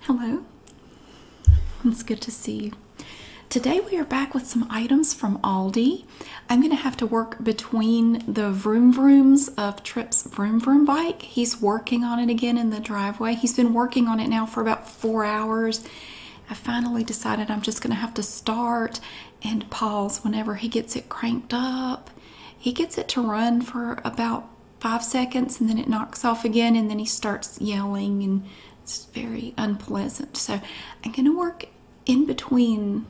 Hello, it's good to see you. Today we are back with some items from Aldi. I'm going to have to work between the vroom vrooms of Trips' vroom vroom bike. He's working on it again in the driveway. He's been working on it now for about four hours. I finally decided I'm just going to have to start and pause whenever he gets it cranked up. He gets it to run for about five seconds and then it knocks off again and then he starts yelling and it's very unpleasant. So I'm going to work in between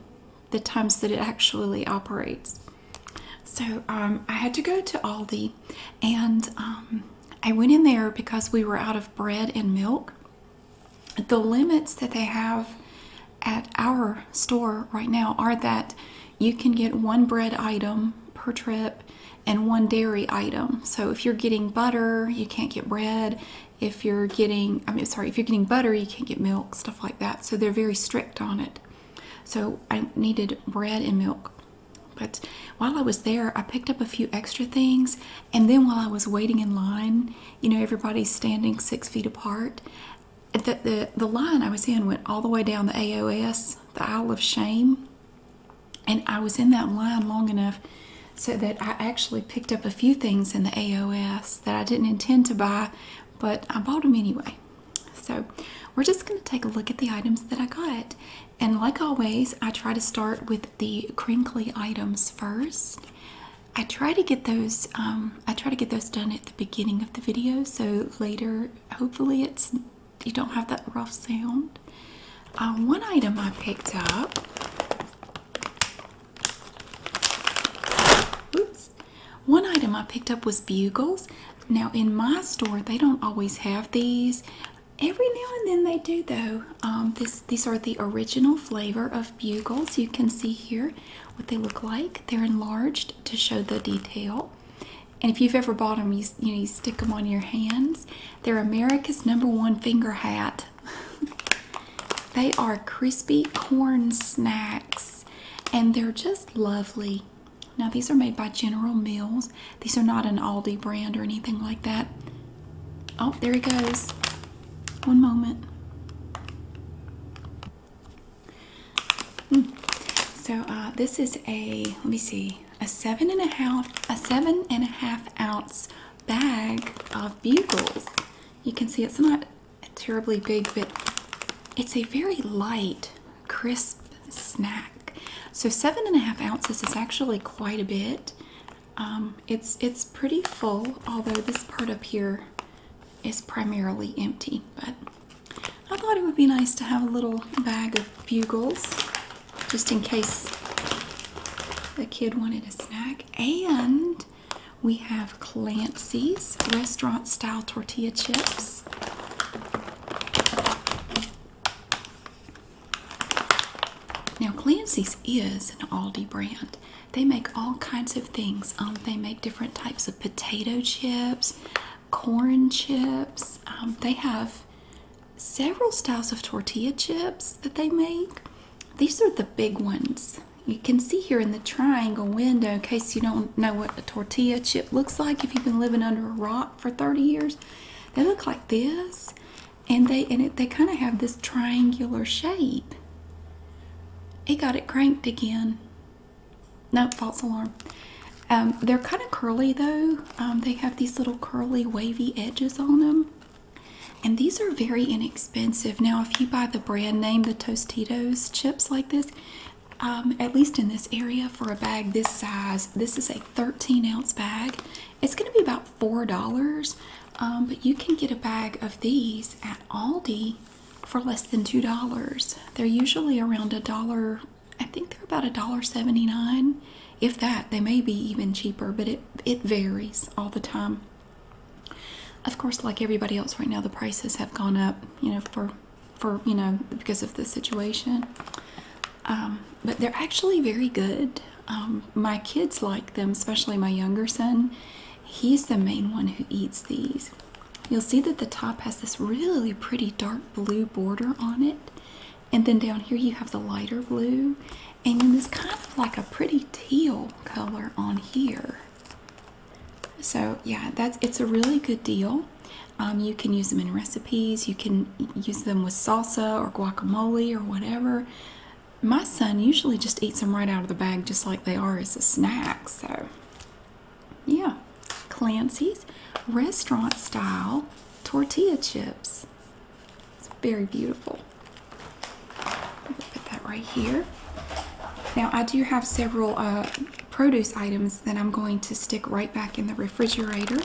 the times that it actually operates. So um, I had to go to Aldi and um, I went in there because we were out of bread and milk. The limits that they have at our store right now are that you can get one bread item per trip and one dairy item. So if you're getting butter, you can't get bread. If you're getting, I mean, sorry, if you're getting butter, you can't get milk, stuff like that. So they're very strict on it. So I needed bread and milk. But while I was there, I picked up a few extra things. And then while I was waiting in line, you know, everybody's standing six feet apart. The, the, the line I was in went all the way down the AOS, the Isle of Shame. And I was in that line long enough so that I actually picked up a few things in the AOS that I didn't intend to buy, but I bought them anyway. So we're just going to take a look at the items that I got. And like always, I try to start with the crinkly items first. I try to get those um, I try to get those done at the beginning of the video so later hopefully it's you don't have that rough sound. Uh, one item I picked up. Oops. One item I picked up was bugles. Now in my store, they don't always have these. Every now and then they do though. Um, this these are the original flavor of bugles. You can see here what they look like. They're enlarged to show the detail. And if you've ever bought them, you, you, stick them on your hands. They're America's number one finger hat. they are crispy corn snacks and they're just lovely. Now, these are made by General Mills. These are not an Aldi brand or anything like that. Oh, there he goes. One moment. Hmm. So, uh, this is a, let me see, a seven and a half a seven and a half ounce bag of bugles. You can see it's not terribly big, but it's a very light, crisp snack. So seven and a half ounces is actually quite a bit. Um, it's it's pretty full, although this part up here is primarily empty, but I thought it would be nice to have a little bag of bugles just in case the kid wanted a snack. And we have Clancy's restaurant style tortilla chips. Now, Clancy's is an Aldi brand. They make all kinds of things. Um, they make different types of potato chips corn chips. Um, they have several styles of tortilla chips that they make. These are the big ones. You can see here in the triangle window, in case you don't know what a tortilla chip looks like, if you've been living under a rock for 30 years, they look like this. And they and they kind of have this triangular shape. It got it cranked again. No, nope, false alarm. Um, they're kind of curly though. Um, they have these little curly wavy edges on them. And these are very inexpensive. Now, if you buy the brand name, the Tostitos chips like this, um, at least in this area for a bag this size, this is a 13 ounce bag. It's going to be about $4, but you can get a bag of these at Aldi for less than $2. They're usually around a dollar I think they're about a dollar seventy-nine, If that, they may be even cheaper, but it, it varies all the time. Of course, like everybody else right now, the prices have gone up, you know, for, for you know, because of the situation. Um, but they're actually very good. Um, my kids like them, especially my younger son. He's the main one who eats these. You'll see that the top has this really pretty dark blue border on it. And then down here you have the lighter blue. And then this kind of like a pretty teal color on here. So yeah, that's it's a really good deal. Um, you can use them in recipes. You can use them with salsa or guacamole or whatever. My son usually just eats them right out of the bag just like they are as a snack. So yeah, Clancy's restaurant style tortilla chips. It's very beautiful. Put that right here. Now I do have several uh, produce items that I'm going to stick right back in the refrigerator.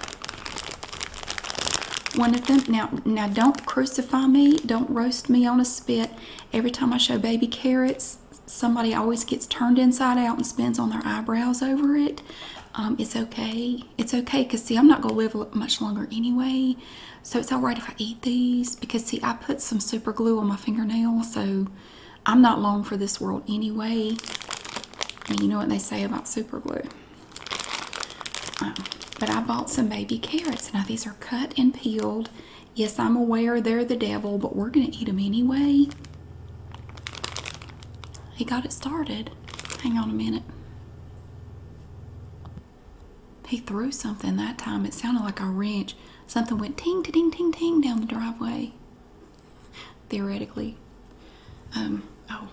One of them, now, now don't crucify me, don't roast me on a spit. Every time I show baby carrots, somebody always gets turned inside out and spins on their eyebrows over it. Um, it's okay, it's okay because, see, I'm not going to live much longer anyway. So it's all right if I eat these because, see, I put some super glue on my fingernail. So I'm not long for this world anyway. you know what they say about super glue. Um, but I bought some baby carrots. Now, these are cut and peeled. Yes, I'm aware they're the devil, but we're going to eat them anyway. He got it started. Hang on a minute. He threw something that time. It sounded like a wrench. Something went ting, ting, ting, ting down the driveway. Theoretically. Um, oh.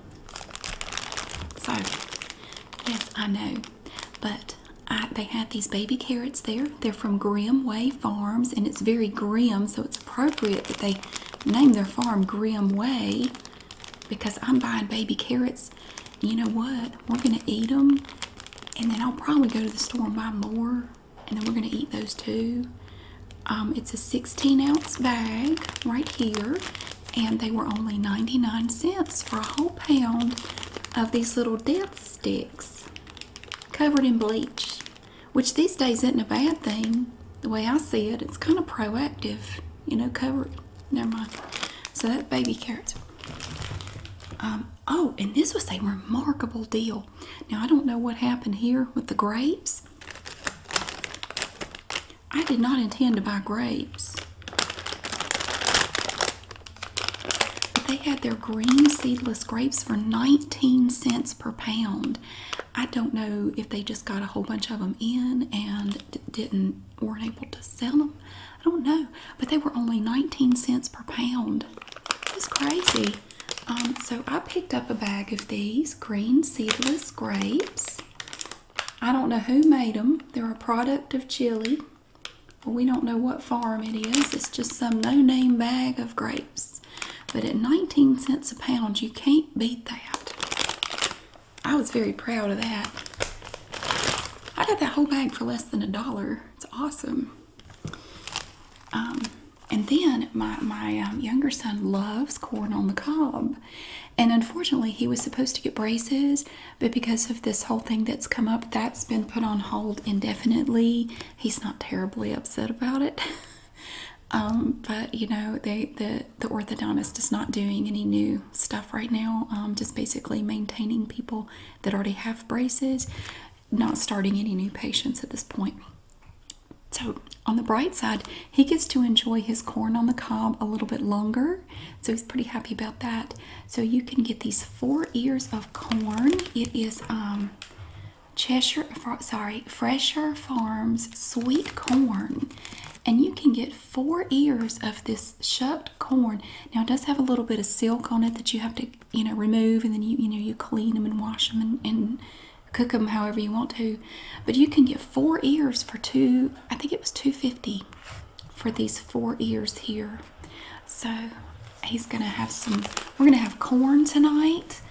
So, yes, I know. But I, they had these baby carrots there. They're from Grim Way Farms, and it's very grim, so it's appropriate that they name their farm Grim Way because I'm buying baby carrots. You know what? We're gonna eat them, and then I'll probably go to the store and buy more, and then we're gonna eat those too. Um, it's a 16 ounce bag right here, and they were only 99 cents for a whole pound of these little death sticks covered in bleach, which these days isn't a bad thing the way I see it, it's kind of proactive, you know, Cover. Never mind. So that baby carrots. Um, oh, and this was a remarkable deal. Now, I don't know what happened here with the grapes. I did not intend to buy grapes. But they had their green seedless grapes for 19 cents per pound. I don't know if they just got a whole bunch of them in and didn't weren't able to sell them. I don't know, but they were only 19 cents per pound. It's crazy. Um, so I picked up a bag of these green seedless grapes. I don't know who made them. They're a product of Chile. Well, we don't know what farm it is. It's just some no-name bag of grapes. But at 19 cents a pound, you can't beat that. I was very proud of that. I got that whole bag for less than a dollar. It's awesome. Um, and then my, my um, younger son loves corn on the cob. And unfortunately, he was supposed to get braces, but because of this whole thing that's come up, that's been put on hold indefinitely. He's not terribly upset about it. Um, but you know, the the orthodontist is not doing any new stuff right now. Um, just basically maintaining people that already have braces, not starting any new patients at this point. So on the bright side, he gets to enjoy his corn on the cob a little bit longer. So he's pretty happy about that. So you can get these four ears of corn. It is um, Cheshire, sorry, Fresher Farms sweet corn and you can get four ears of this shucked corn. Now it does have a little bit of silk on it that you have to, you know, remove, and then you, you know, you clean them and wash them and, cook them however you want to. But you can get four ears for two. I think it was two fifty for these four ears here. So he's gonna have some. We're gonna have corn tonight,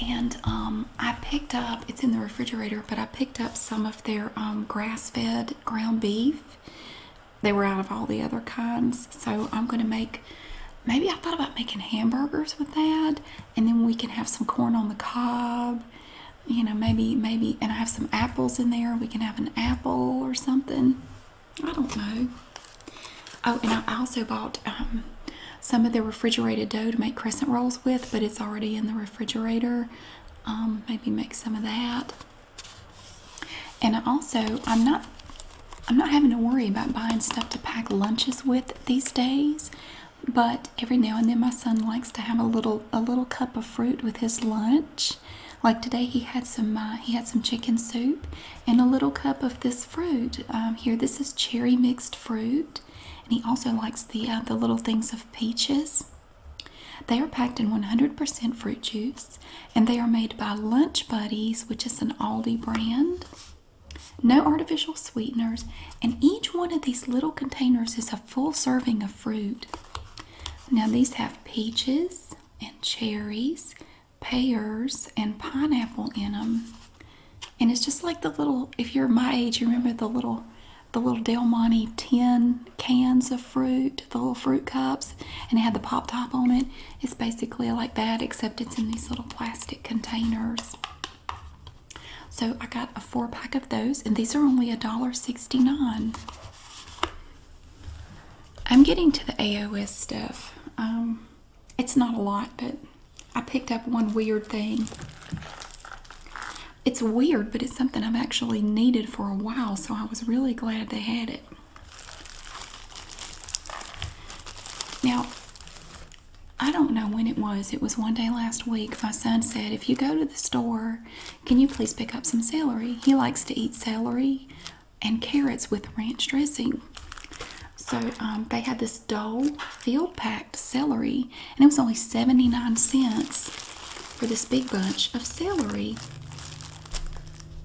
and um I picked up, it's in the refrigerator, but I picked up some of their um, grass fed ground beef. They were out of all the other kinds, so I'm going to make maybe I thought about making hamburgers with that, and then we can have some corn on the cob. You know, maybe, maybe, and I have some apples in there. We can have an apple or something. I don't know. Oh, and I also bought um, some of the refrigerated dough to make crescent rolls with, but it's already in the refrigerator. Um, maybe make some of that and I also I'm not I'm not having to worry about buying stuff to pack lunches with these days but every now and then my son likes to have a little a little cup of fruit with his lunch like today he had some uh, he had some chicken soup and a little cup of this fruit um, here this is cherry mixed fruit and he also likes the, uh, the little things of peaches. They are packed in 100% fruit juice and they are made by Lunch Buddies, which is an Aldi brand. No artificial sweeteners, and each one of these little containers is a full serving of fruit. Now, these have peaches and cherries, pears, and pineapple in them. And it's just like the little, if you're my age, you remember the little the little Del Monte tin cans of fruit, the little fruit cups, and it had the pop top on it. It's basically like that, except it's in these little plastic containers. So I got a four pack of those, and these are only $1.69. I'm getting to the AOS stuff. Um, it's not a lot, but I picked up one weird thing it's weird, but it's something I've actually needed for a while, so I was really glad they had it. Now, I don't know when it was. It was one day last week. My son said, If you go to the store, can you please pick up some celery? He likes to eat celery and carrots with ranch dressing. So um, they had this Dole field pack celery, and it was only 79 cents for this big bunch of celery.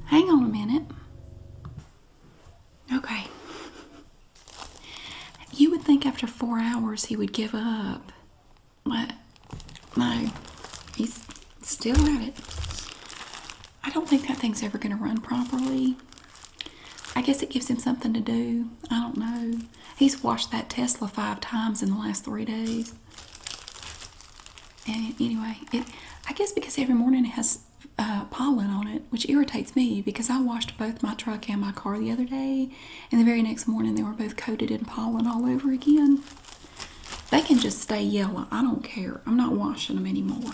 Hang on a minute. Okay. You would think after four hours he would give up. But no, he's still at it. I don't think that thing's ever going to run properly. I guess it gives him something to do. I don't know. He's washed that Tesla five times in the last three days. And anyway, it, I guess because every morning it has uh, pollen on it, which irritates me because I washed both my truck and my car the other day, and the very next morning they were both coated in pollen all over again. They can just stay yellow. I don't care. I'm not washing them anymore.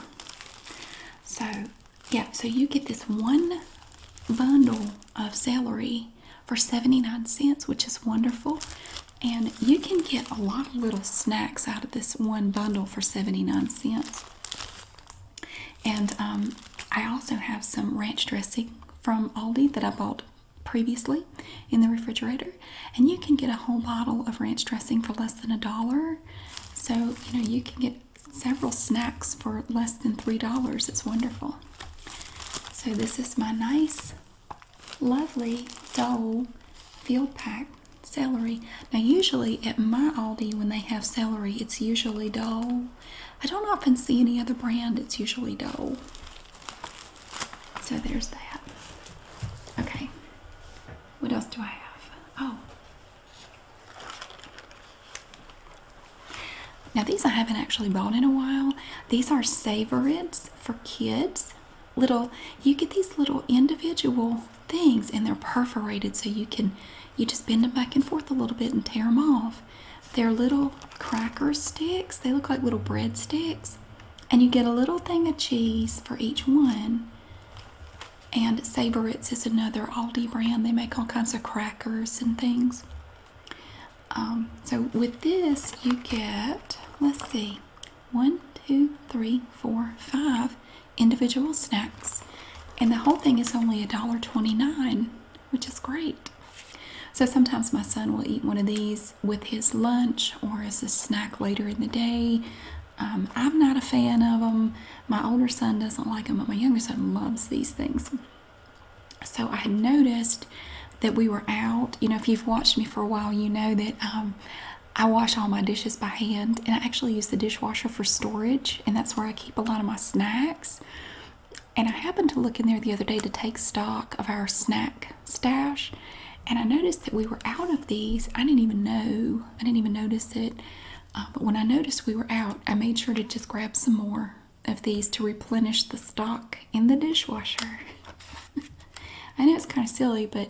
So, yeah, so you get this one bundle of celery for 79 cents, which is wonderful. And you can get a lot of little snacks out of this one bundle for 79 cents. And um, I also have some ranch dressing from Aldi that I bought previously in the refrigerator. And you can get a whole bottle of ranch dressing for less than a dollar. So, you know, you can get several snacks for less than $3. It's wonderful. So this is my nice, lovely doll field pack celery. Now usually at my Aldi when they have celery, it's usually Dole. I don't often see any other brand, it's usually Dole. So there's that. Okay. What else do I have? Oh. Now these I haven't actually bought in a while. These are Savorits for kids. Little, you get these little individual things and they're perforated so you can, you just bend them back and forth a little bit and tear them off. They're little cracker sticks. They look like little bread sticks. And you get a little thing of cheese for each one. And Savorits is another Aldi brand. They make all kinds of crackers and things. Um, so with this, you get, let's see, one, two, three, four, five individual snacks. And the whole thing is only a dollar twenty-nine, which is great. So sometimes my son will eat one of these with his lunch or as a snack later in the day. Um, I'm not a fan of them. My older son doesn't like them, but my younger son loves these things. So I had noticed that we were out. You know, if you've watched me for a while, you know that um, I wash all my dishes by hand, and I actually use the dishwasher for storage, and that's where I keep a lot of my snacks. And I happened to look in there the other day to take stock of our snack stash, and I noticed that we were out of these. I didn't even know, I didn't even notice it. Uh, but when I noticed we were out, I made sure to just grab some more of these to replenish the stock in the dishwasher. I know it's kind of silly, but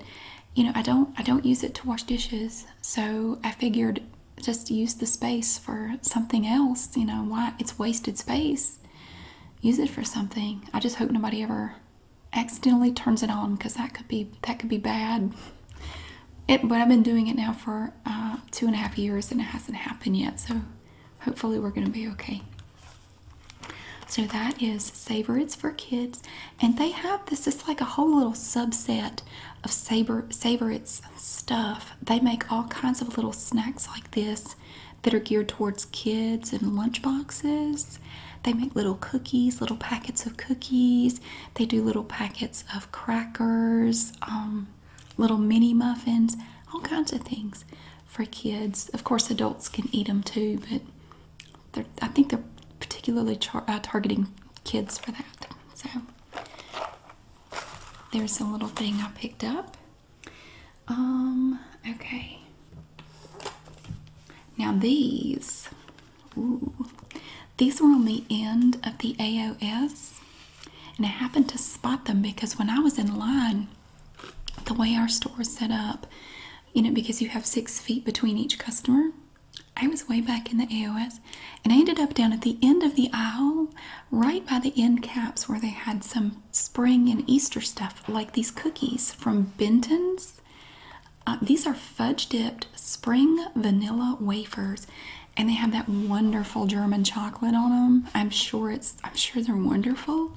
you know, I don't I don't use it to wash dishes. So I figured just use the space for something else, you know, why it's wasted space. Use it for something. I just hope nobody ever accidentally turns it on because that could be that could be bad. but I've been doing it now for uh, two and a half years and it hasn't happened yet, so hopefully we're going to be okay. So that is Savorits for kids, and they have this. It's like a whole little subset of Saber Saber stuff. They make all kinds of little snacks like this that are geared towards kids and lunchboxes. They make little cookies, little packets of cookies. They do little packets of crackers, um, little mini muffins, all kinds of things for kids. Of course, adults can eat them too, but I think they're particularly uh, targeting kids for that. So there's a little thing I picked up. Um. Okay. Now these, ooh, these were on the end of the AOS, and I happened to spot them because when I was in line the way our store is set up, you know, because you have six feet between each customer. I was way back in the AOS and I ended up down at the end of the aisle, right by the end caps where they had some spring and Easter stuff, like these cookies from Benton's. Uh, these are fudge dipped spring vanilla wafers and they have that wonderful German chocolate on them. I'm sure it's I'm sure they're wonderful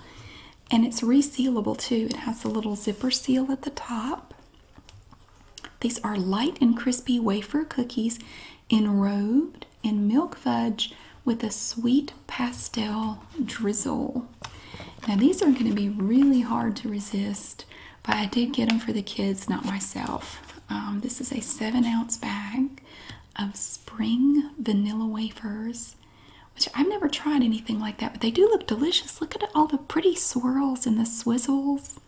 and it's resealable too. It has a little zipper seal at the top. These are light and crispy wafer cookies enrobed in milk fudge with a sweet pastel drizzle. Now, these are going to be really hard to resist, but I did get them for the kids, not myself. Um, this is a seven ounce bag of spring vanilla wafers I've never tried anything like that, but they do look delicious. Look at all the pretty swirls and the swizzles,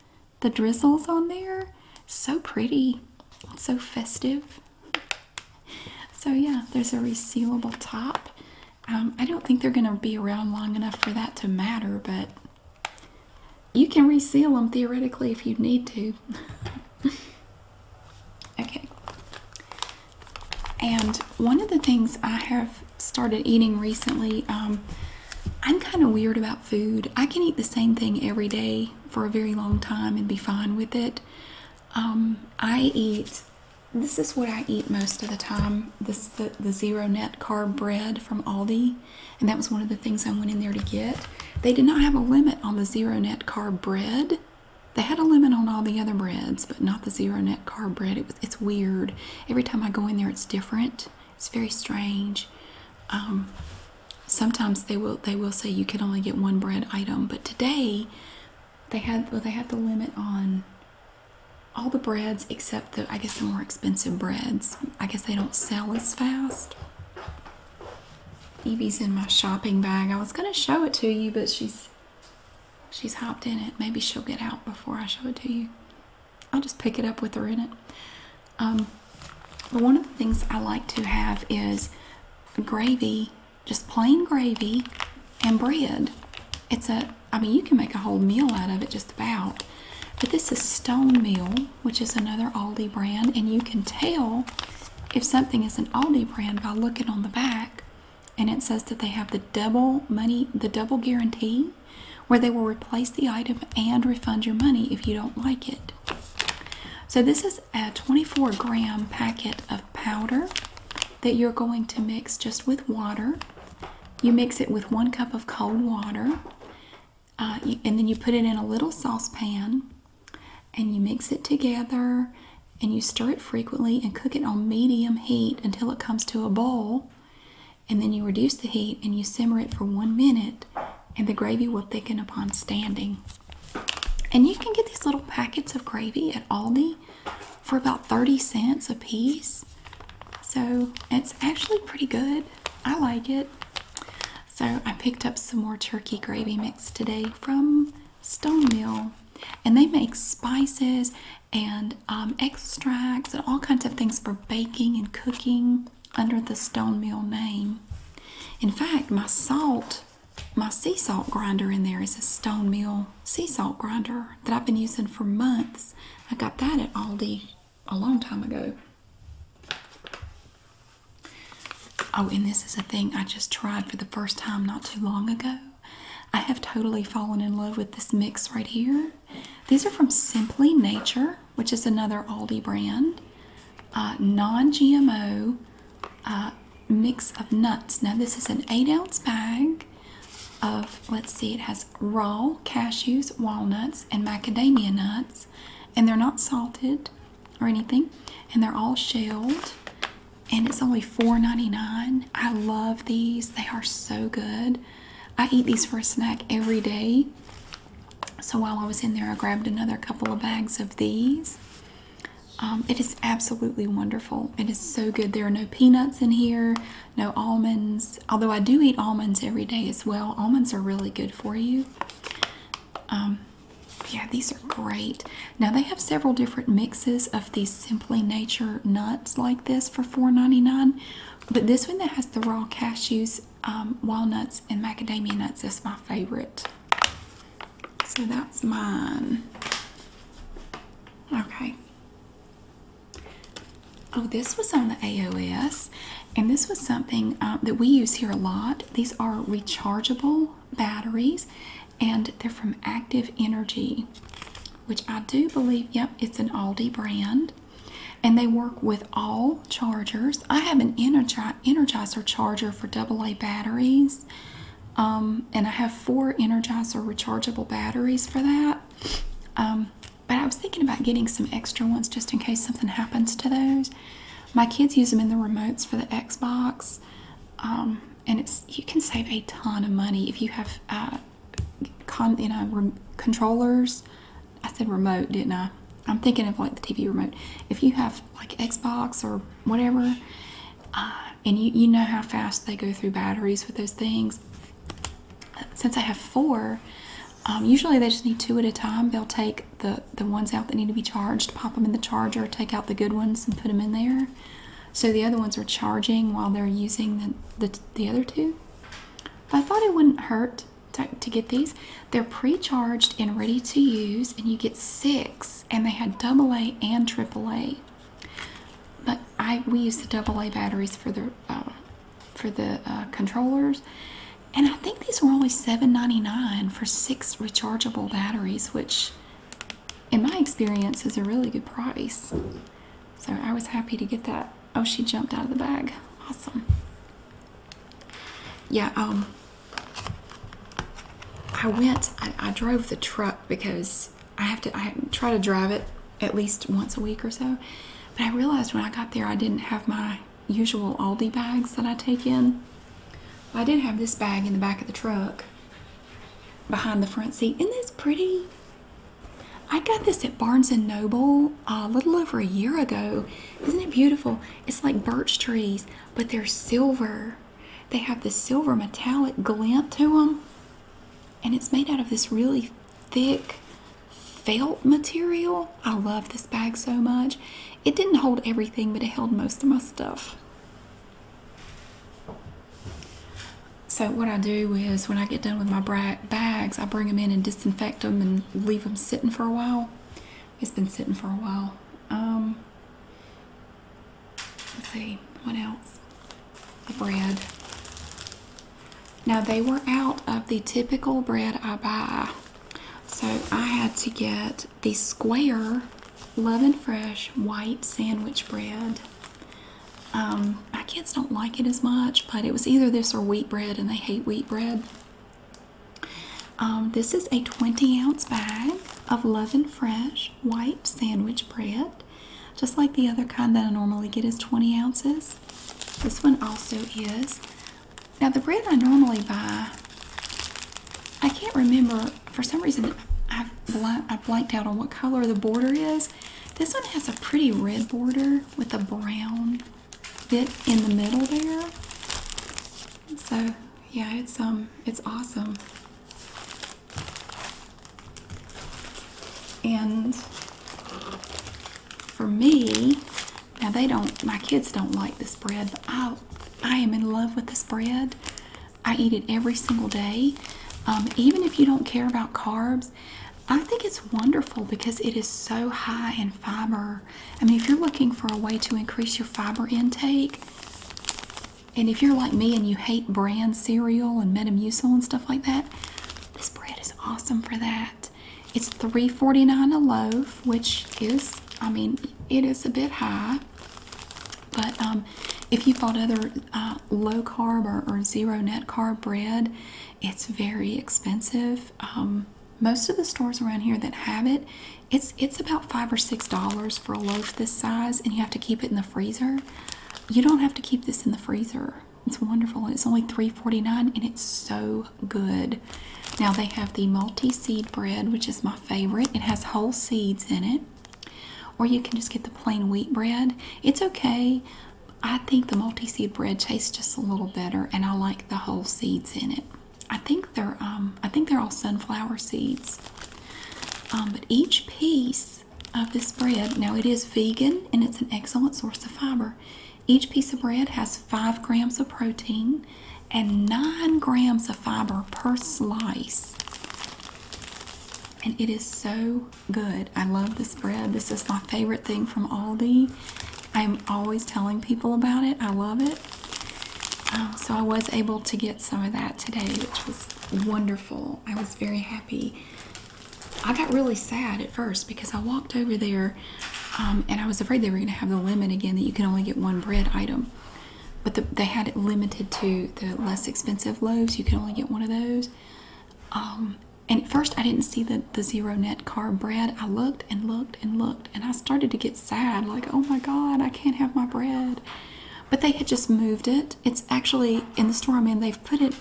the drizzles on there. So pretty, so festive. So, yeah, there's a resealable top. Um, I don't think they're going to be around long enough for that to matter, but you can reseal them theoretically if you need to. Okay. And one of the things I have started eating recently, um, I'm kind of weird about food. I can eat the same thing every day for a very long time and be fine with it. Um, I eat, this is what I eat most of the time. This the zero net carb bread from Aldi. And that was one of the things I went in there to get. They did not have a limit on the zero net carb bread. They had a limit on all the other breads, but not the zero net carb bread. It was, it's weird. Every time I go in there, it's different. It's very strange. Um, sometimes they will they will say you can only get one bread item, but today they had they had the limit on all the breads except the I guess the more expensive breads. I guess they don't sell as fast. Evie's in my shopping bag. I was gonna show it to you, but she's She's hopped in it. Maybe she'll get out before I show it to you. I'll just pick it up with her in it. Um, but one of the things I like to have is gravy, just plain gravy and bread. It's a, I mean, you can make a whole meal out of it just about. But this is Stone Meal, which is another Aldi brand, and you can tell if something is an Aldi brand by looking on the back and it says that they have the double money, the double guarantee, where they will replace the item and refund your money if you don't like it. So, this is a 24 gram packet of powder that you're going to mix just with water. You mix it with one cup of cold water, uh, and then you put it in a little saucepan and you mix it together and you stir it frequently and cook it on medium heat until it comes to a boil. And then you reduce the heat and you simmer it for one minute, and the gravy will thicken upon standing. And you can get these little packets of gravy at Aldi for about 30 cents a piece. So it's actually pretty good. I like it. So I picked up some more turkey gravy mix today from stone mill and they make spices and um, extracts and all kinds of things for baking and cooking under the stone mill name. In fact, my salt, my sea salt grinder in there is a stone mill sea salt grinder that I've been using for months. I got that at Aldi a long time ago. Oh, and this is a thing I just tried for the first time not too long ago. I have totally fallen in love with this mix right here. These are from Simply Nature, which is another Aldi brand. Uh, non GMO uh, mix of nuts. Now, this is an 8 ounce bag of, let's see, it has raw cashews, walnuts, and macadamia nuts. And they're not salted or anything. And they're all shelled and it's only $4.99. I love these. They are so good. I eat these for a snack every day. So while I was in there, I grabbed another couple of bags of these. Um, it is absolutely wonderful. It is so good. There are no peanuts in here, no almonds. Although I do eat almonds every day as well. Almonds are really good for you. Um, yeah, these are great. Now they have several different mixes of these Simply Nature nuts like this for $4.99. But this one that has the raw cashews, um, walnuts, and macadamia nuts is my favorite. So that's mine. Okay. Oh, this was on the AOS, and this was something um, that we use here a lot. These are rechargeable batteries, and they're from Active Energy, which I do believe, yep, it's an Aldi brand. And they work with all chargers. I have an Energi Energizer charger for AA batteries. Um, and I have four Energizer rechargeable batteries for that. Um, but I was thinking about getting some extra ones just in case something happens to those. My kids use them in the remotes for the Xbox. Um, and it's you can save a ton of money if you have uh, you know controllers. I said remote, didn't I? I'm thinking of like the TV remote. If you have like Xbox or whatever, uh, and you you know how fast they go through batteries with those things. Since I have four, um, usually they just need two at a time. They'll take the the ones out that need to be charged, pop them in the charger, take out the good ones, and put them in there so the other ones are charging while they're using the, the, other two. I thought it wouldn't hurt to, get these. They're pre-charged and ready to use, and you get six. And they had double A and triple A. But I we use the double A batteries for the uh, for the uh, controllers, and I think these were only $7.99 for six rechargeable batteries, which in my experience, is a really good price. So I was happy to get that. Oh, she jumped out of the bag. Awesome. Yeah, um, I went, I, I drove the truck because I have to, I try to drive it at least once a week or so. But I realized when I got there, I didn't have my usual Aldi bags that I take in. I did have this bag in the back of the truck behind the front seat. Isn't this pretty? I got this at Barnes & Noble uh, a little over a year ago. Isn't it beautiful? It's like birch trees, but they're silver. They have this silver metallic glint to them. And it's made out of this really thick felt material. I love this bag so much. It didn't hold everything, but it held most of my stuff. So what I do is when I get done with my bags, I bring them in and disinfect them and leave them sitting for a while. It's been sitting for a while. Um, let's see, what else? The bread. Now they were out of the typical bread I buy. So I had to get the square Love and Fresh white sandwich bread. Um, my kids don't like it as much, but it was either this or wheat bread, and they hate wheat bread. Um, this is a 20 ounce bag of Love and Fresh white sandwich bread. Just like the other kind that I normally get is 20 ounces. This one also is. Now, the bread I normally buy, I can't remember for some reason I, bl I blanked out on what color the border is. This one has a pretty red border with a brown bit in the middle there. So yeah, it's um it's awesome. And for me, now they don't my kids don't like this bread, but I I am in love with this bread. I eat it every single day. Um, even if you don't care about carbs, I think it's wonderful because it is so high in fiber. I mean, if you're looking for a way to increase your fiber intake, and if you're like me and you hate bran cereal and Metamucil and stuff like that, this bread is awesome for that. It's three forty nine a loaf, which is, I mean, it is a bit high. But um, if you bought other uh, low carb or, zero net carb bread, it's very expensive. Um, most of the stores around here that have it, it's it's about five or six dollars for a loaf this size, and you have to keep it in the freezer. You don't have to keep this in the freezer. It's wonderful. It's only $3.49 and it's so good. Now they have the multi-seed bread, which is my favorite. It has whole seeds in it. Or you can just get the plain wheat bread. It's okay. I think the multi seed bread tastes just a little better, and I like the whole seeds in it. I think they're um, I think they're all sunflower seeds. Um, but each piece of this bread, now it is vegan and it's an excellent source of fiber. Each piece of bread has five grams of protein and nine grams of fiber per slice. And it is so good. I love this bread. This is my favorite thing from Aldi. I'm always telling people about it. I love it. Um, so I was able to get some of that today, which was wonderful. I was very happy. I got really sad at first because I walked over there um, and I was afraid they were going to have the limit again that you can only get one bread item. But they had it limited to the less expensive loaves. You can only get one of those. Um, and at first, I didn't see the, the zero net carb bread. I looked and looked and looked, and I started to get sad like, oh my God, I can't have my bread. But they had just moved it. It's actually in the store i they've put it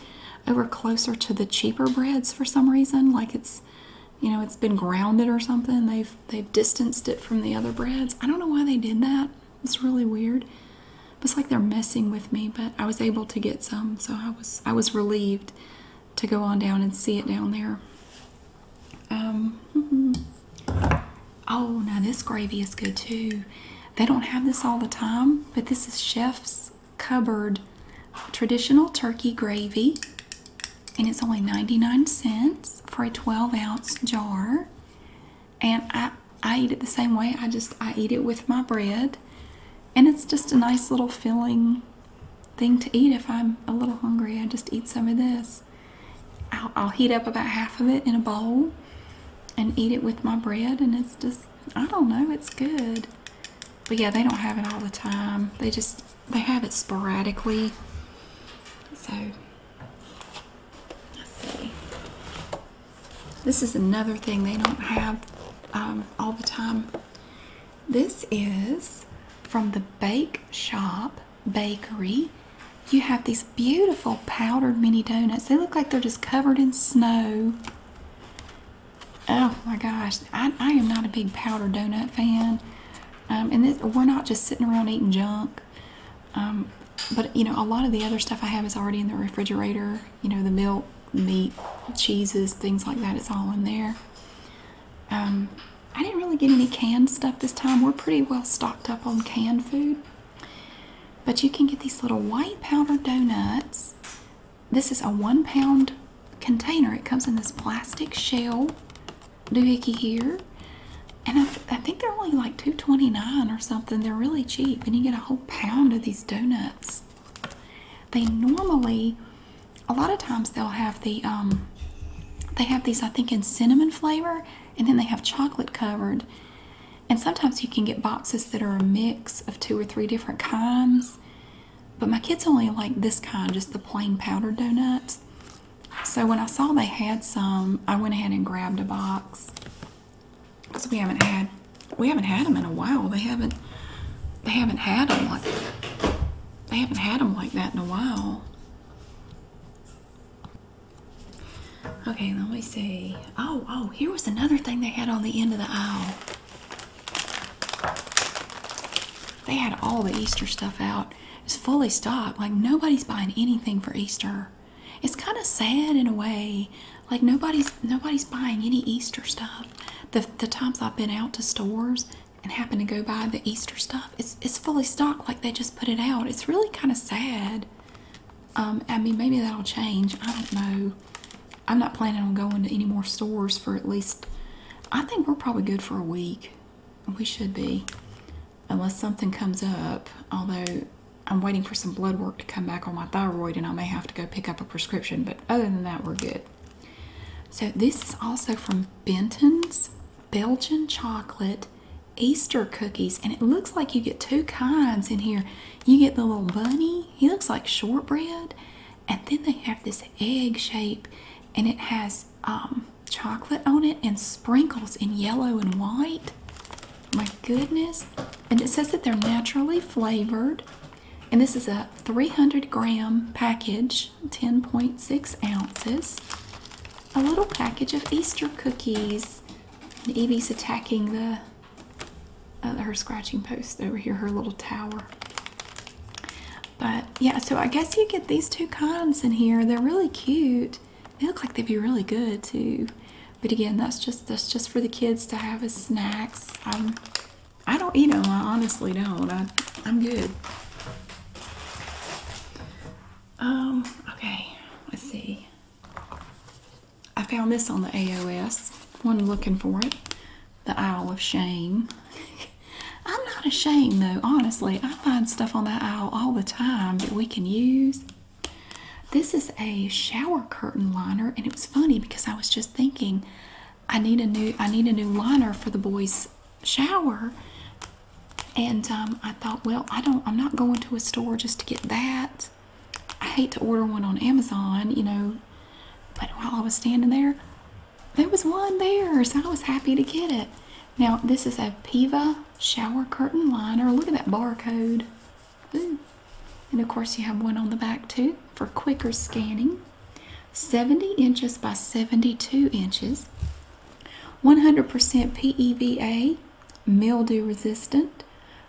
over closer to the cheaper breads for some reason. Like it's, you know, it's been grounded or something. They've, they've distanced it from the other breads. I don't know why they did that. It's really weird. It's like they're messing with me, but I was able to get some, so I was I was relieved to go on down and see it down there. Um, oh, now this gravy is good too. They don't have this all the time, but this is Chef's Cupboard traditional turkey gravy, and it's only 99 cents for a 12 ounce jar and I I eat it the same way. I just I eat it with my bread, and it's just a nice little filling thing to eat. If I'm a little hungry, I just eat some of this. I'll, heat up about half of it in a bowl, and eat it with my bread, and it's just I don't know. It's good, but yeah, they don't have it all the time. They just they have it sporadically. So let's see. This is another thing they don't have um, all the time. This is from the Bake Shop Bakery. You have these beautiful powdered mini donuts. They look like they're just covered in snow. Oh my gosh, I, am not a big powdered donut fan. Um, and we're not just sitting around eating junk. Um, but you know, a lot of the other stuff I have is already in the refrigerator. You know, the milk, meat, cheeses, things like that. It's all in there. Um, I didn't really get any canned stuff this time. We're pretty well stocked up on canned food. But you can get these little white powder donuts. This is a one pound container. It comes in this plastic shell doohickey here. And I, think they're only like two twenty-nine or something. They're really cheap. And you get a whole pound of these donuts. They normally, a lot of times they'll have the, um, they have these I think in cinnamon flavor and then they have chocolate covered. And sometimes you can get boxes that are a mix of two or three different kinds. But my kids only like this kind, just the plain powdered donuts. So when I saw they had some, I went ahead and grabbed a box because we haven't had we haven't had them in a while. They haven't they haven't had them like they haven't had them like that in a while. Okay, let me see. Oh, oh, here was another thing they had on the end of the aisle. They had all the Easter stuff out. It's fully stocked. Like nobody's buying anything for Easter. It's kind of sad in a way. Like nobody's nobody's buying any Easter stuff. The the times I've been out to stores and happen to go buy the Easter stuff, it's it's fully stocked. Like they just put it out. It's really kind of sad. Um, I mean, maybe that'll change. I don't know. I'm not planning on going to any more stores for at least. I think we're probably good for a week. We should be, unless something comes up. Although I'm waiting for some blood work to come back on my thyroid, and I may have to go pick up a prescription. But other than that, we're good. So, this is also from Benton's Belgian chocolate Easter cookies, and it looks like you get two kinds in here. You get the little bunny, he looks like shortbread, and then they have this egg shape, and it has um, chocolate on it and sprinkles in yellow and white. My goodness. And it says that they're naturally flavored. And this is a 300 gram package, 10.6 ounces. A little package of Easter cookies. And Evie's attacking the uh, her scratching post over here, her little tower. But yeah, so I guess you get these two kinds in here. They're really cute. They look like they'd be really good too. But again, that's just that's just for the kids to have as snacks. I'm, um, I do not eat them. I honestly don't. I, am good. Um, okay. Let's see. I found this on the AOS. One looking for it. The Isle of Shame. I'm not ashamed though. Honestly, I find stuff on that aisle all the time that we can use. This is a shower curtain liner, and it was funny because I was just thinking, I need a new I need a new liner for the boys' shower, and um, I thought, well, I don't I'm not going to a store just to get that. I hate to order one on Amazon, you know. But while I was standing there, there was one there, so I was happy to get it. Now this is a Piva shower curtain liner. Look at that barcode. And of course, you have one on the back too for quicker scanning. 70 inches by 72 inches. 100% PEVA, mildew resistant,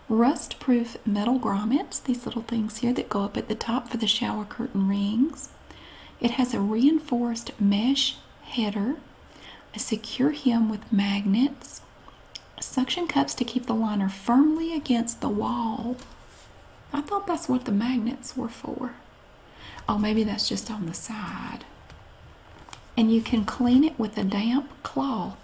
rust proof metal grommets, these little things here that go up at the top for the shower curtain rings. It has a reinforced mesh header, a secure hem with magnets, Suction cups to keep the liner firmly against the wall. I thought that's what the magnets were for. Oh, maybe that's just on the side. And you can clean it with a damp cloth.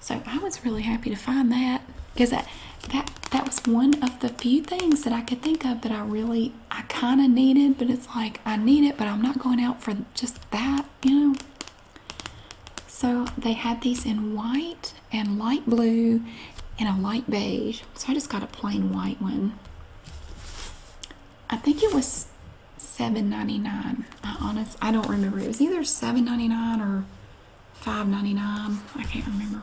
So I was really happy to find that because that that that was one of the few things that I could think of that I really I kind of needed, but it's like I need it, but I'm not going out for just that, you know. So they had these in white and light blue and a light beige. So I just got a plain white one. I think it was seven ninety nine. I honest I don't remember. It was either seven ninety nine or five ninety nine. I can't remember.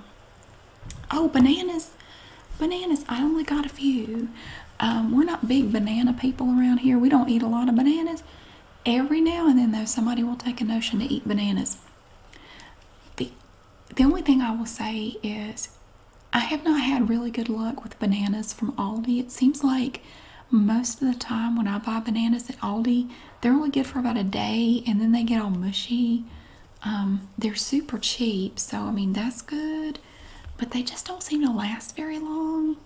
Oh, bananas. Bananas. I only got a few. Um, we're not big banana people around here. We don't eat a lot of bananas. Every now and then, though, somebody will take a notion to eat bananas. The, the only thing I will say is I have not had really good luck with bananas from Aldi. It seems like most of the time when I buy bananas at Aldi, they're only good for about a day and then they get all mushy. Um, they're super cheap, so I mean, that's good, but they just don't seem to last very long.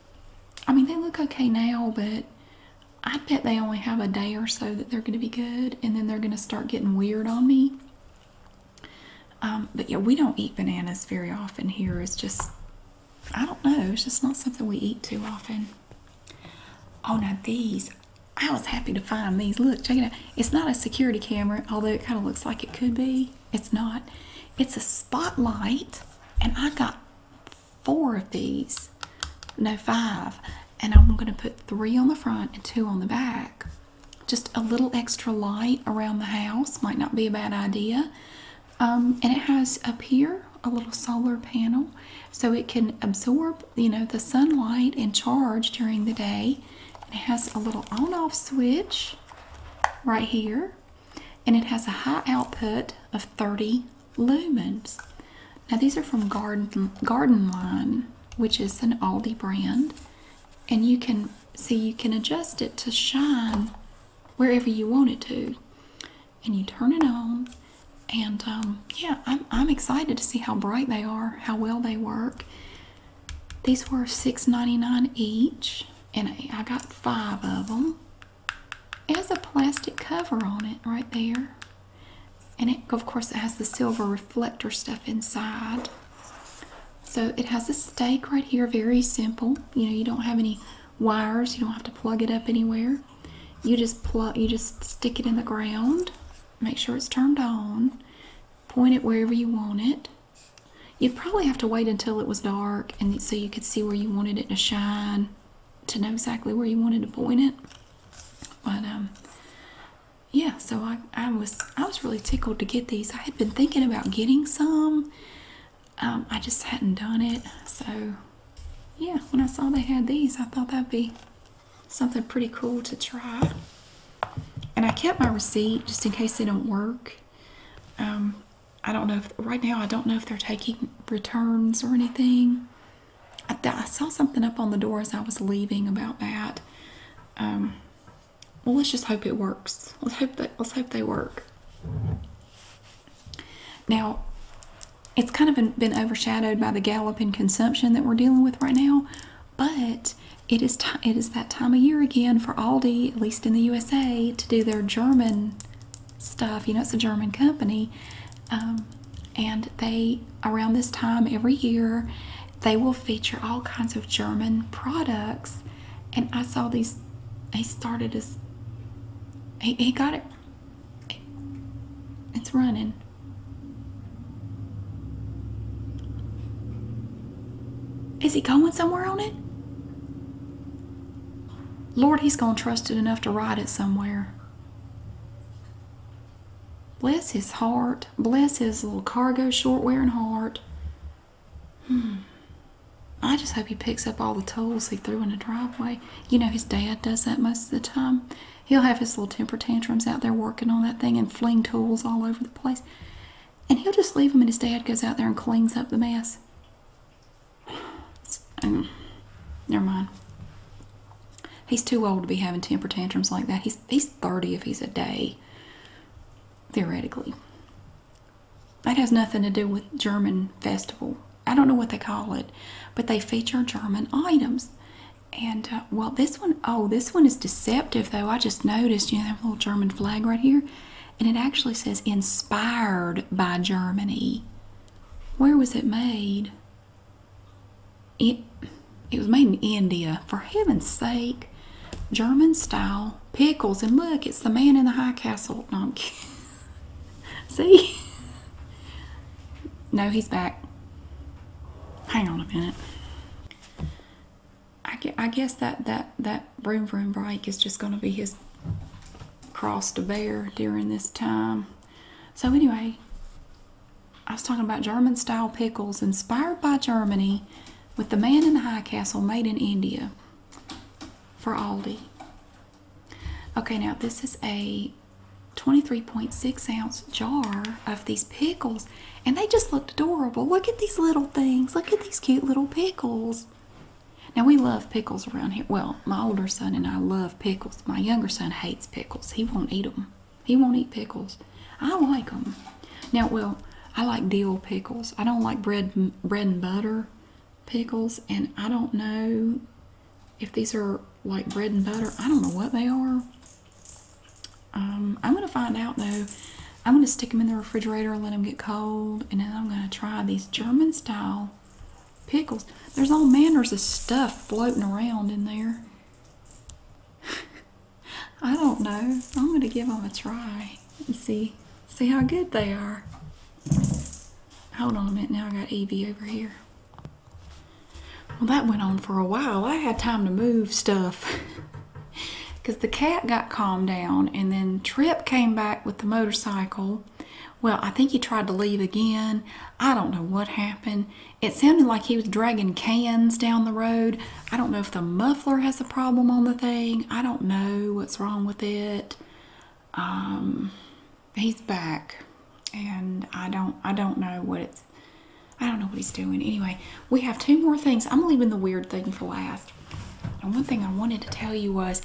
I mean, they look okay now, but I bet they only have a day or so that they're going to be good, and then they're going to start getting weird on me. Um, but yeah, we don't eat bananas very often here. It's just, I don't know, it's just not something we eat too often. Oh, now these, I was happy to find these. Look, check it out. It's not a security camera, although it kind of looks like it could be. It's not. It's a spotlight, and I got four of these, no, five, and I'm going to put three on the front and two on the back. Just a little extra light around the house might not be a bad idea. Um, and it has up here a little solar panel so it can absorb, you know, the sunlight and charge during the day. it has a little on off switch right here. And it has a high output of 30 lumens. Now these are from Garden Garden Line, which is an Aldi brand, and you can see you can adjust it to shine wherever you want it to, and you turn it on. And um, yeah, I'm I'm excited to see how bright they are, how well they work. These were $6.99 each, and I got five of them. It has a plastic cover on it right there. And it, of course, it has the silver reflector stuff inside. So it has a stake right here, very simple. You know, you don't have any wires, you don't have to plug it up anywhere. You just plug you just stick it in the ground, make sure it's turned on, point it wherever you want it. you probably have to wait until it was dark and so you could see where you wanted it to shine to know exactly where you wanted to point it. But um, yeah, so I, I was I was really tickled to get these. I had been thinking about getting some. Um, I just hadn't done it. So yeah, when I saw they had these, I thought that'd be something pretty cool to try. And I kept my receipt just in case they don't work. Um, I don't know if right now I don't know if they're taking returns or anything. I, saw something up on the door as I was leaving about that. Um, well, let's just hope it works. Let's hope that let's hope they work. Now, it's kind of been, been overshadowed by the galloping consumption that we're dealing with right now, but it is it is that time of year again for Aldi, at least in the USA, to do their German stuff. You know, it's a German company. Um, and they, around this time every year, they will feature all kinds of German products. And I saw these, he started as, he, he got it, it's running. Is he going somewhere on it? Lord, he's gone. trust it enough to ride it somewhere. Bless his heart. Bless his little cargo short wearing heart. Hmm. I just hope he picks up all the tools he threw in the driveway. You know, his dad does that most of the time. He'll have his little temper tantrums out there working on that thing and fling tools all over the place. And he'll just leave them, and his dad goes out there and cleans up the mess. Um, never mind. He's too old to be having temper tantrums like that. He's he's 30 if he's a day. Theoretically. That has nothing to do with German festival. I don't know what they call it, but they feature German items. And uh, well, this one, oh, this one is deceptive though. I just noticed, you know, that little German flag right here. And it actually says inspired by Germany. Where was it made? It, it was made in India. For heaven's sake. German style pickles. And look, it's the man in the high castle. No, I'm See? No, he's back. Hang on a minute. I guess that, that, that room room break is just going to be his cross to bear during this time. So, anyway, I was talking about German style pickles inspired by Germany with the man in the high castle made in India for Aldi. Okay, now this is a 23.6 ounce jar of these pickles, and they just looked adorable. Look at these little things. Look at these cute little pickles. Now, we love pickles around here. Well, my older son and I love pickles. My younger son hates pickles. He won't eat them. He won't eat pickles. I like them. Now, well, I like dill pickles. I don't like bread bread and butter pickles, and I don't know if these are like bread and butter. I don't know what they are. Um, I'm gonna find out though. I'm gonna stick them in the refrigerator and let them get cold, and then I'm gonna try these German style pickles. There's all manners of stuff floating around in there. I don't know. I'm going to give them a try and see, see how good they are. Hold on a minute. Now I got Evie over here. Well, that went on for a while. I had time to move stuff. Because the cat got calmed down and then Trip came back with the motorcycle. Well, I think he tried to leave again. I don't know what happened. It sounded like he was dragging cans down the road. I don't know if the muffler has a problem on the thing. I don't know what's wrong with it. Um, he's back, and I don't. I don't know what it's. I don't know what he's doing. Anyway, we have two more things. I'm leaving the weird thing for last. And one thing I wanted to tell you was,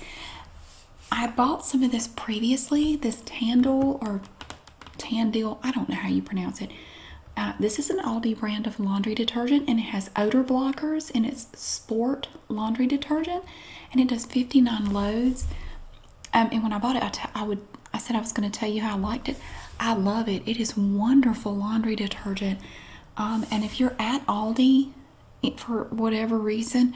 I bought some of this previously. This Tandle or tandil I don't know how you pronounce it. Uh, this is an Aldi brand of laundry detergent and it has odor blockers and it's sport laundry detergent and it does 59 loads. Um, and when I bought it, I, would I said I was going to tell you how I liked it. I love it. It is wonderful laundry detergent. Um, and if you're at Aldi for whatever reason,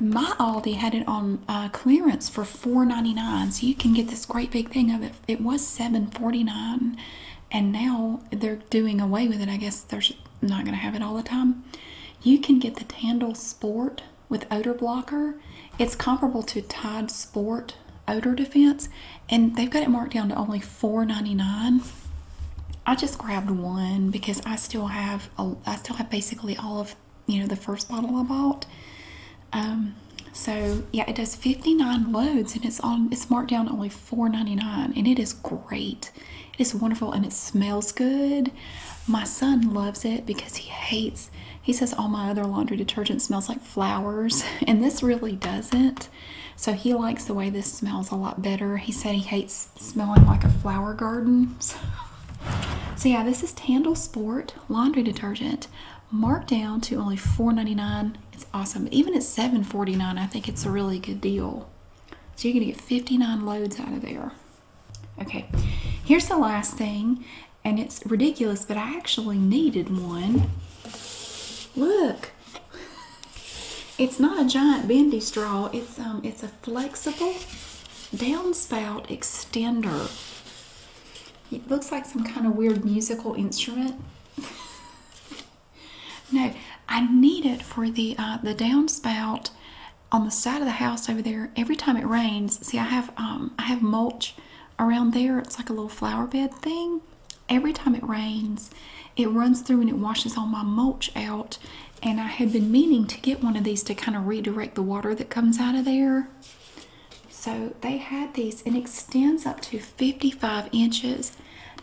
my Aldi had it on uh, clearance for $4.99, so you can get this great big thing of it. It was $7.49, and now they're doing away with it. I guess they're not going to have it all the time. You can get the Tandle Sport with odor blocker. It's comparable to Tide Sport odor defense, and they've got it marked down to only $4.99. I just grabbed one because I still have I still have basically all of you know the first bottle I bought. Um, so yeah, it does 59 loads and it's on it's marked down only 4.99 and it is great. It is wonderful and it smells good. My son loves it because he hates he says all my other laundry detergent smells like flowers and this really doesn't. So he likes the way this smells a lot better. He said he hates smelling like a flower garden. So so yeah, this is Tandle Sport laundry detergent, marked down to only $4.99. It's awesome. Even at $7.49, I think it's a really good deal. So you're gonna get 59 loads out of there. Okay, here's the last thing, and it's ridiculous, but I actually needed one. Look, it's not a giant bendy straw. It's um, it's a flexible downspout extender. It looks like some kind of weird musical instrument. no, I need it for the uh, the downspout on the side of the house over there. Every time it rains, see, I have um, I have mulch around there. It's like a little flower bed thing. Every time it rains, it runs through and it washes all my mulch out. And I had been meaning to get one of these to kind of redirect the water that comes out of there. So they had these and extends up to 55 inches.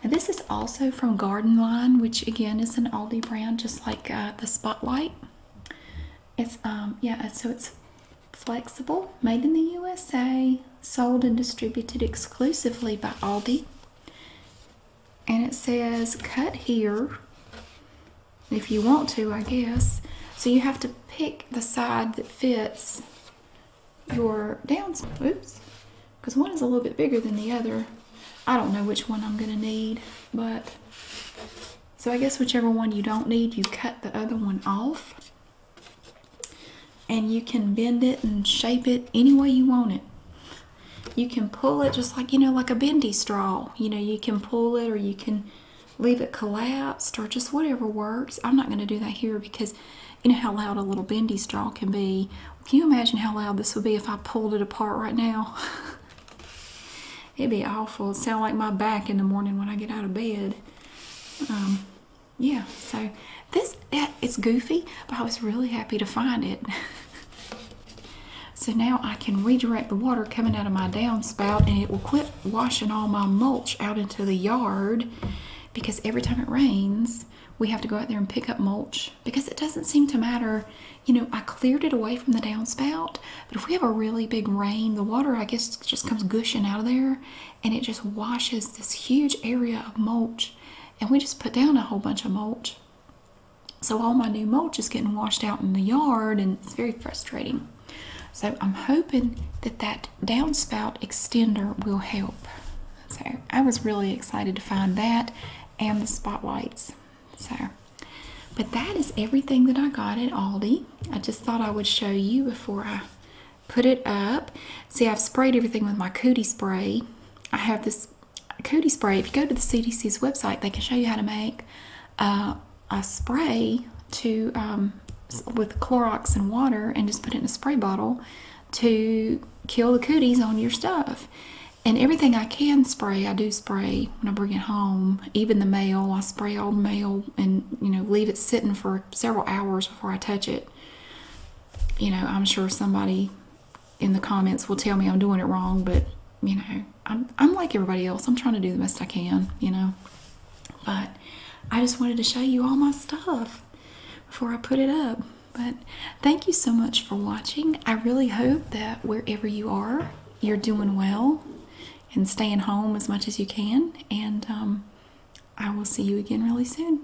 Now this is also from Garden Line, which again is an Aldi brand, just like uh, the Spotlight. It's um yeah, uh, so it's flexible, made in the USA, sold and distributed exclusively by Aldi. And it says cut here if you want to, I guess. So you have to pick the side that fits your downs. Oops, because one is a little bit bigger than the other. I don't know which one I'm gonna need, but so I guess whichever one you don't need, you cut the other one off and you can bend it and shape it any way you want it. You can pull it just like, you know, like a bendy straw. You know, you can pull it or you can leave it collapsed or just whatever works. I'm not going to do that here because you know how loud a little bendy straw can be. Can you imagine how loud this would be if I pulled it apart right now? It'd be awful. It'd sound like my back in the morning when I get out of bed. Um, yeah, so this, it's goofy, but I was really happy to find it. so now I can redirect the water coming out of my downspout and it will quit washing all my mulch out into the yard because every time it rains, we have to go out there and pick up mulch because it doesn't seem to matter. You know, I cleared it away from the downspout, but if we have a really big rain, the water, I guess, just comes gushing out of there and it just washes this huge area of mulch. And we just put down a whole bunch of mulch. So all my new mulch is getting washed out in the yard and it's very frustrating. So I'm hoping that that downspout extender will help. So I was really excited to find that and the spotlights. So, but that is everything that I got at Aldi. I just thought I would show you before I put it up. See, I've sprayed everything with my Cootie spray. I have this Cootie spray. If you go to the CDC's website, they can show you how to make uh, I spray to um, with Clorox and water and just put it in a spray bottle to kill the cooties on your stuff. And everything I can spray, I do spray when I bring it home. Even the mail, I spray old mail and you know leave it sitting for several hours before I touch it. You know, I'm sure somebody in the comments will tell me I'm doing it wrong, but you know, I'm I'm like everybody else. I'm trying to do the best I can. You know. But I just wanted to show you all my stuff before I put it up. But thank you so much for watching. I really hope that wherever you are, you're doing well and staying home as much as you can. And um, I will see you again really soon.